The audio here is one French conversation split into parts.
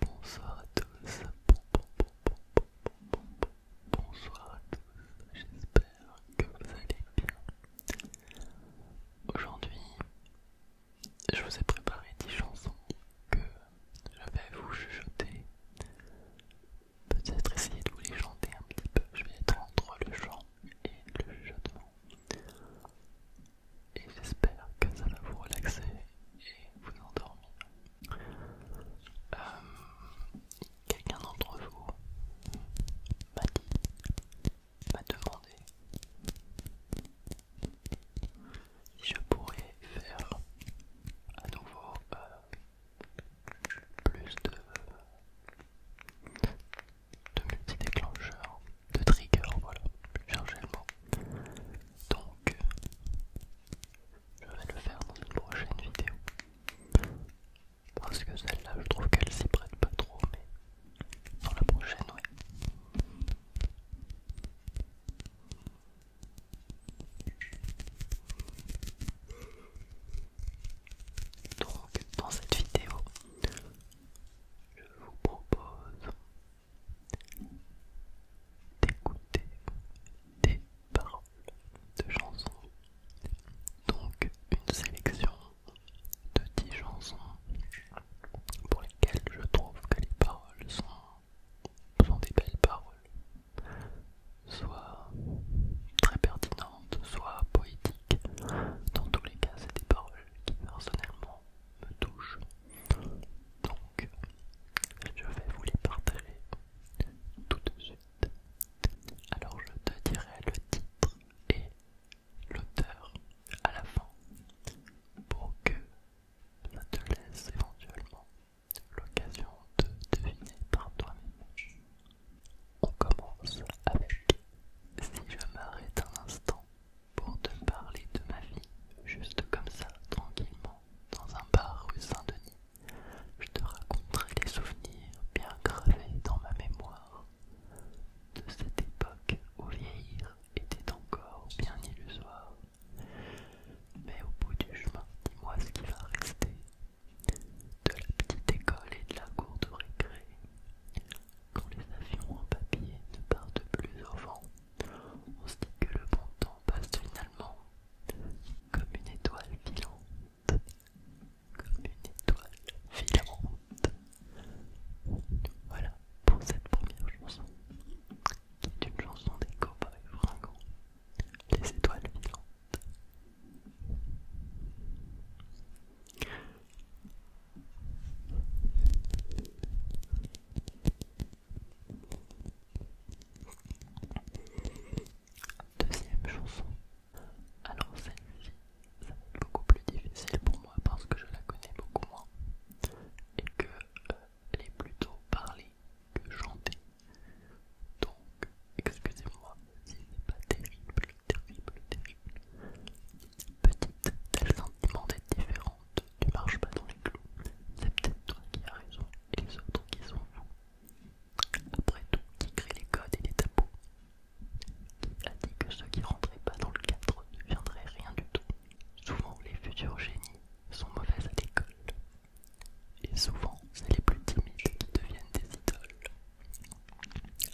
Bonsoir à tous, bonsoir à tous, j'espère que vous allez bien. Aujourd'hui, je vous ai préparé 10 chansons que je vais vous chuchoter. Peut-être essayer de vous les chanter un petit peu. Je vais être entre le chant et le chuchotement et j'espère que ça va vous relaxer et vous endormir. Euh, quelqu'un d'entre vous m'a dit, m'a demandé si je pourrais faire à nouveau euh, plus de multi-déclencheurs de trigger, voilà, cherchez le mot. Donc, je vais le faire dans une prochaine vidéo. Parce que celle-là, je trouve qu'elle s'y prête pas trop, mais dans la prochaine, oui Donc, dans cette vidéo, je vous propose d'écouter des paroles de chansons. Donc une sélection de 10 chansons pour lesquelles je trouve que les paroles sont, des belles paroles, soit très pertinentes, soit poétiques. Dans tous les cas, c'est des paroles qui personnellement me touche Donc, je vais vous les partager tout de suite. Alors, je te dirai le titre et l'auteur à la fin pour que ça te laisse éventuellement l'occasion de deviner par toi-même. On commence avec Si je m'arrête un instant, pour te parler de ma vie, juste comme ça, tranquillement, dans un bar rue Saint-Denis. Je te raconterai des souvenirs bien gravés dans ma mémoire de cette époque où vieillir était encore bien illusoire. Mais au bout du chemin, dis-moi ce qui va rester de la petite école et de la cour de récré. Quand les avions en papier ne partent plus au vent, on se dit que le bon temps passe finalement comme une étoile filante, comme une étoile filante. Voilà pour cette première chanson, qui est une chanson des copains fringants, les étoiles filantes. Deuxième chanson. Alors celle-ci, ça va être beaucoup plus difficile pour moi parce que je la connais beaucoup moins et que euh, elle est plutôt parlée que chantée. Donc, excusez-moi si c'est pas terrible, terrible, terrible. Petite, tel sentiment d'être différent tu marches pas dans les clous. C'est peut-être toi qui as raison et les autres qui sont Après tout, qui crée les codes et les tabous Qui a dit que ceux qui rentraient pas dans le cadre ne viendraient rien du tout Souvent, les futurs génies sont mauvais à l'école. Et souvent, c'est les plus timides qui deviennent des idoles.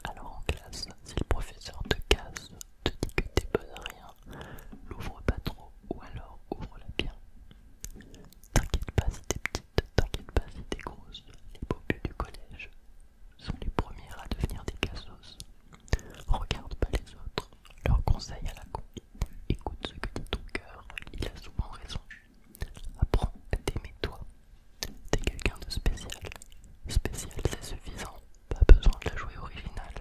Alors en classe, si le professeur de casse, te dis que t'es bonne à rien, l'ouvre pas trop ou alors ouvre-la bien. T'inquiète pas si t'es petite, t'inquiète pas si t'es grosse, les beaux du collège sont les premières à devenir des cassos. Regarde pas les autres, leur conseil à la con. Écoute ce que dit ton cœur, il a souvent raison. Apprends à t'aimer toi. T'es quelqu'un de spécial. Spécial, c'est suffisant. Pas besoin de la jouer originale.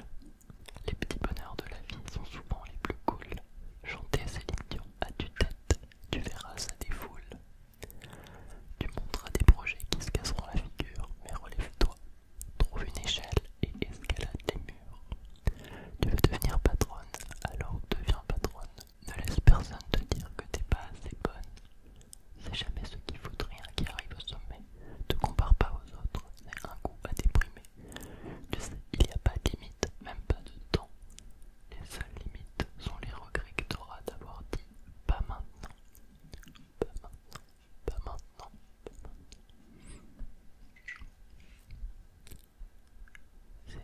Les petits bonheurs de la vie sont souvent les plus cools. Chanter Céline Dion à tu tête, tu verras ça des foules. Tu montreras des projets qui se casseront la figure, mais relève-toi. Trouve une échelle et escalade les murs. Tu veux devenir patronne, alors deviens patronne. Ne laisse personne te dire que t'es pas assez bonne. C'est jamais ce qu'il faudrait rien qui arrive au sommet. Te compare pas aux autres, c'est un coup à déprimer. Tu sais, il n'y a pas de limite, même pas de temps. Les seules limites sont les regrets que auras d'avoir dit pas maintenant. Pas maintenant, pas maintenant, C'est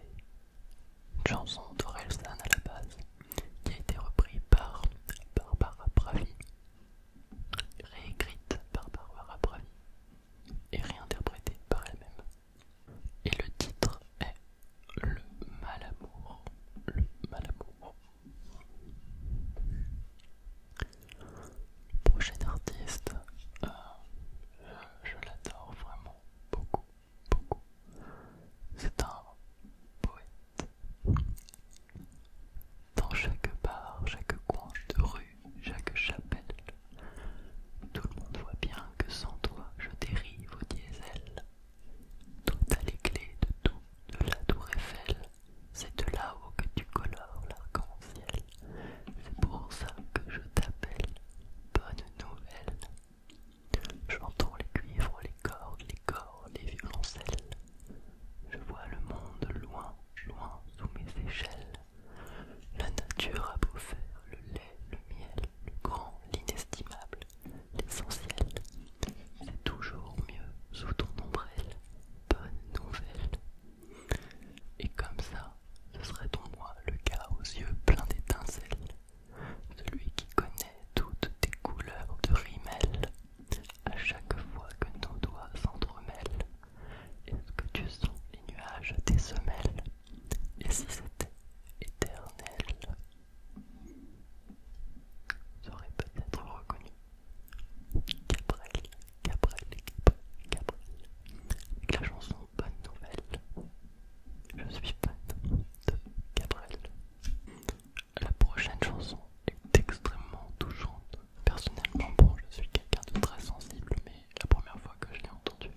une chanson d'Orelsan à la base qui a été reprise par Barbara Pravi réécrite par Barbara Bravi et réinterprétée par elle-même. Et le titre est Le Malamour ». Le Malamour. Le Prochain artiste, euh, je l'adore vraiment beaucoup, beaucoup. C'est un poète dans chaque bar, chaque coin de rue, chaque chapelle, tout le monde voit bien que sans toi je dérive au diesel. Tout t'as les clés de tout, de la tour Eiffel, c'est de là-haut que tu colores l'arc-en-ciel. C'est pour ça que je t'appelle, bonne nouvelle. J'entends les cuivres, les cordes, les cordes, les violoncelles. Je vois le monde loin, loin sous mes échelles. La nature a beau faire le lait, le miel, le grand, l'inestimable, l'essentiel. est toujours mieux sous ton ombrelle. Bonne nouvelle. Et comme ça, ce serait ton moi le gars aux yeux pleins d'étincelles. Celui qui connaît toutes tes couleurs de rimel. À chaque fois que nos doigts s'entremêlent, est-ce que tu sens les nuages des semelles Et si c'était éternel J'aurais peut-être reconnu Gabriel, Gabriel, Gabriel, avec la chanson Bonne Nouvelle. Je suis fan de Gabriel. La prochaine chanson est extrêmement touchante. Personnellement, bon, je suis quelqu'un de très sensible, mais la première fois que je l'ai entendue,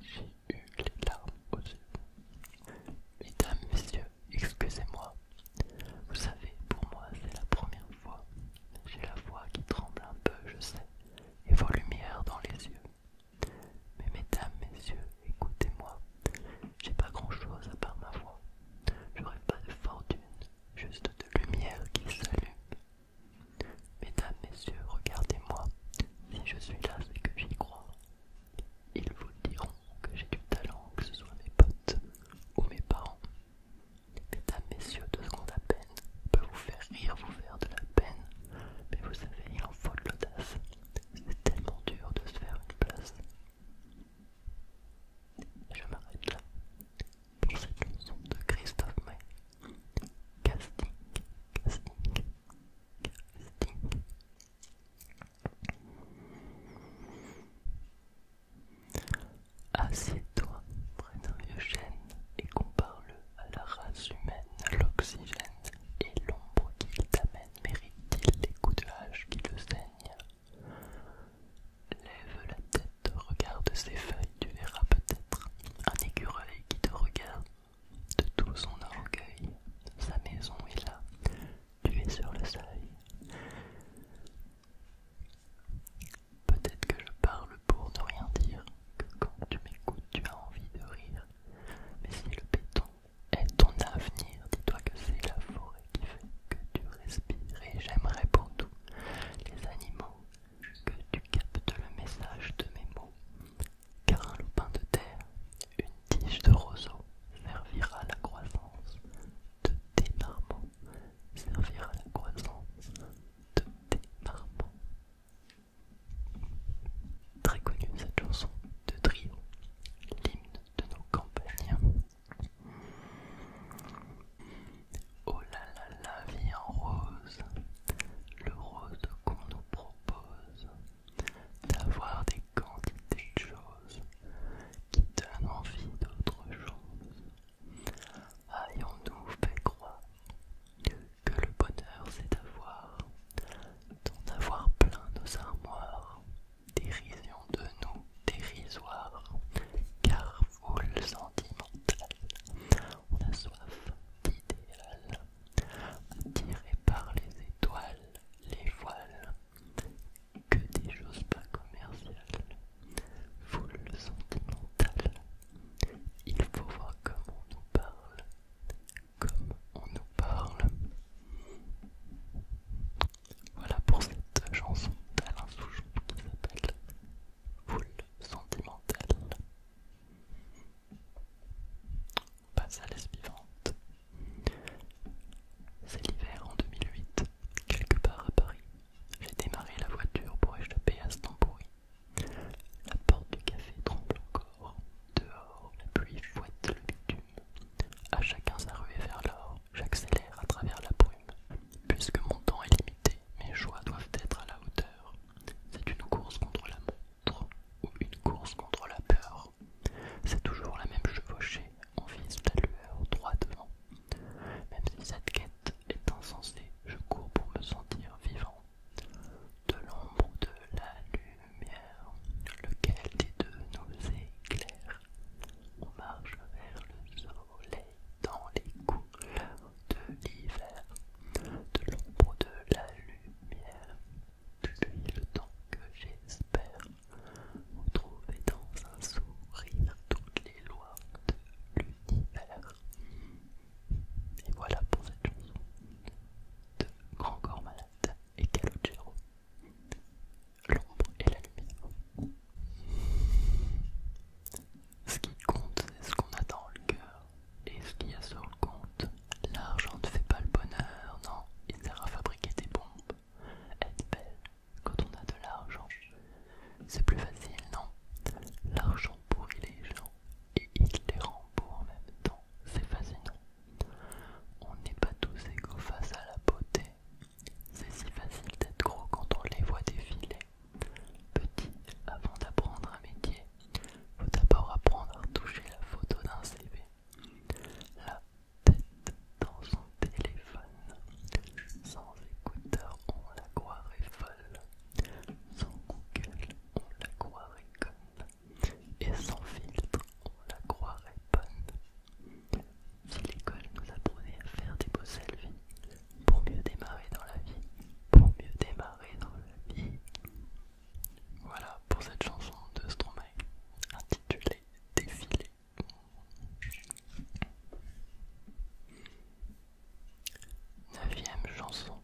j'ai eu les larmes aux yeux. Mesdames, messieurs, excusez-moi. Vous savez, pour moi, c'est la première fois. J'ai la voix qui tremble un peu, je sais, et vos lumières dans les yeux. Mais mesdames, messieurs, écoutez-moi. J'ai pas grand chose à part ma voix. j'aurai pas de fortune, juste de lumière qui s'allume. Mesdames, messieurs, regardez-moi. Si je suis là, c'est que j'y crois. Ils vous diront que j'ai du talent, que ce soit mes potes ou mes parents. Mesdames, messieurs, deux secondes à peine peut vous faire rire, vous faire de la peine. Mais vous savez, il en faut de l'audace. C'est tellement dur de se faire une place. Je m'arrête là pour cette chanson de Christophe May. Casting, casting, casting. Assieds-toi près d'un et compare-le à la race humaine, à l'oxygène et l'ombre qu'il t'amène mérite-t-il les coups de hache qui le saignent Lève la tête, regarde ses feuilles, tu verras peut-être un écureuil qui te regarde de tout son orgueil. Sa maison est là, tu es sur le seuil. Peut-être que je parle pour ne rien dire, que quand tu m'écoutes, tu as envie de rire. Mais si le béton est ton avenir. Dis-toi que c'est la forêt qui fait que tu respires. Et j'aimerais pour tous les animaux que tu captes le message de mes mots. Car un loupin de terre, une tige de roseau, servira la croissance de tes marmots. Servira à la croissance de tes marmots. Très connue cette chanson de Trio l'hymne de nos campagnes. Oh là là, la vie en rose, le rose qu'on nous propose, d'avoir des quantités de choses qui donnent envie d'autre chose. Ayons-nous fait croire que le bonheur c'est d'avoir d'en avoir plein nos armoires, dérision de nous dérisoire, car foule sentimentale, on a soif d'idéal, attiré par les étoiles, les voiles, que des choses pas commerciales, foule sentimentale, il faut voir comment on nous parle, comme on nous parle. Voilà pour cette chanson d'Alain Souchon qui s'appelle Foule sentimentale. On passe à la suivante. C'est l'hiver en 2008, quelque part à Paris. J'ai démarré la voiture pour échapper à ce La porte du café tremble encore dehors, la pluie fouette le bitume. À chacun sa ruée vers l'or, j'accélère à travers la brume. Puisque mon temps est limité, mes joies doivent être à la hauteur. C'est une course contre la montre ou une course contre la peur. C'est toujours la même chevauchée, on vise la lueur droit devant. Même si cette quête est insensée, je cours pour me sentir vivant de l'ombre de la lumière, lequel des deux nous éclaire. On marche vers le soleil dans les couleurs de l'hiver, de l'ombre de la lumière, depuis le temps que j'espère retrouver dans un sourire toutes les lois de l'univers. Et voilà pour cette chanson de Grand Corps Malade et Calogero. L'ombre et la lumière. Ce qui compte, c'est ce qu'on a dans le cœur. Et ce qu'il y a sur le compte, l'argent ne fait pas le bonheur, non, il sert à fabriquer des bombes. Être belle quand on a de l'argent, c'est plus facile, non L'argent pourrit les gens et il les rend beaux en même temps, c'est fascinant. On n'est pas tous égaux face à la beauté. C'est si facile d'être gros quand on les voit défiler. Petit, avant d'apprendre un métier, faut d'abord apprendre à toucher la photo d'un CV. La tête dans son téléphone. Sans écouteur, on la croirait folle. Sans Google, on la croirait conne et sans filtre, on la croirait bonne. Si l'école nous apprenait à faire des beaux selfies, pour mieux démarrer dans la vie, pour mieux démarrer dans la vie. Voilà pour cette chanson de Stromae intitulée Défilé. Neuvième chanson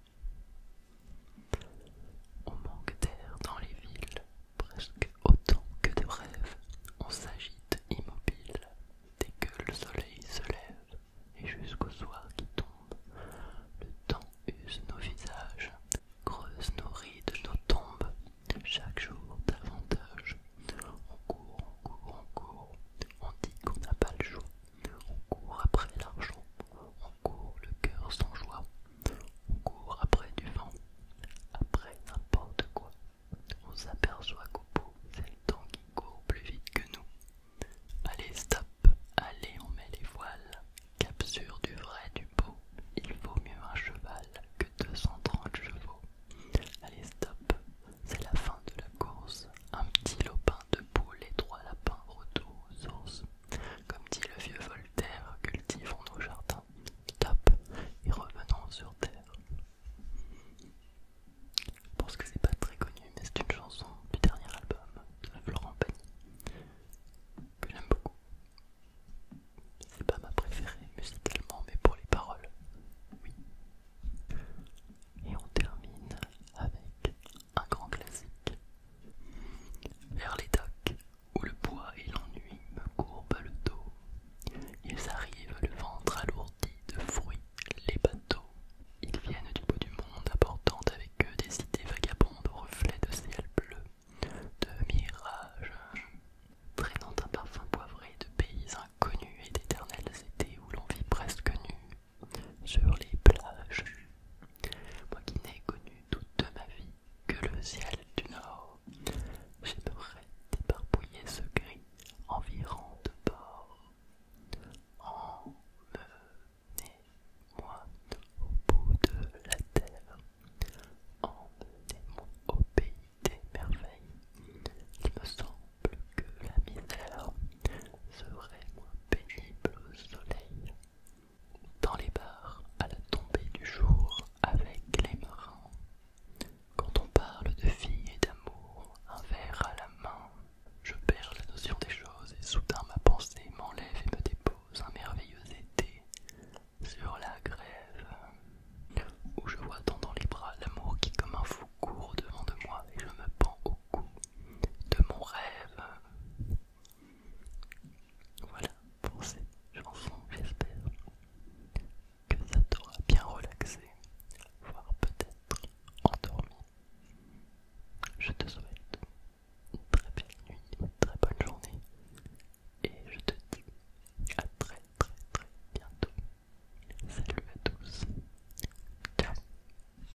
on manque d'air dans les villes, presque autant que de rêves. On s'agite immobile, dès que le soleil se lève, et jusqu'au soir qui tombe. Le temps use nos visages, creuse nos rides, nos tombes, chaque jour davantage. On court, on court, on court, on dit qu'on n'a pas le choix, on court après l'argent, on court le cœur sans joie, on court après du vent, après n'importe quoi. On s'aperçoit qu'au bout, c'est le temps qui court plus vite que nous. Allez, stop, allez, on met les voiles. Capture du vrai, du beau, il vaut mieux un cheval que 230 chevaux. Allez, stop, c'est la fin de la course. Un petit lopin de poule et trois lapins retour aux comme dit le vieux Voltaire, cultivons nos jardins, tape et revenons sur terre. Je pense que c'est pas très connu, mais c'est une chanson du dernier album de la Florent Penny. que j'aime beaucoup. C'est pas ma préférée musicalement, mais pour les paroles, oui. Et on termine avec un grand classique. Vers les docks, où le bois et l'ennui me courbent le dos, ils arrivent le ventre alourdi de fruits, les bateaux. Ils viennent du bout du monde, apportant avec eux des idées vagabondes au reflets de ciel bleu, de mirages, traînant un parfum poivré de pays inconnus et d'éternels étés où l'on vit presque nu, sur les plages. Moi qui n'ai connu toute ma vie que le ciel du nord, j'aimerais débarbouiller ce gris environ de bord. Emmenez-moi au bout de la terre, emmenez-moi au pays des merveilles. Il me semble que la misère serait moins pénible au soleil dans les bars à la tombée du jour avec les marins. Quand on parle de filles et d'amour, un verre à la main, je perds la notion des choses et soudain ma pensée m'enlève et me dépose un merveilleux été sur la grève, où je vois tant dans les bras l'amour qui comme un fou court devant de moi et je me pends de mon rêve. Voilà pour cette chanson, j'espère que ça t'aura bien relaxé, voire peut-être endormi. Je te souhaite une très belle nuit, très bonne journée, et je te dis à très très très bientôt. Salut à tous. Ciao.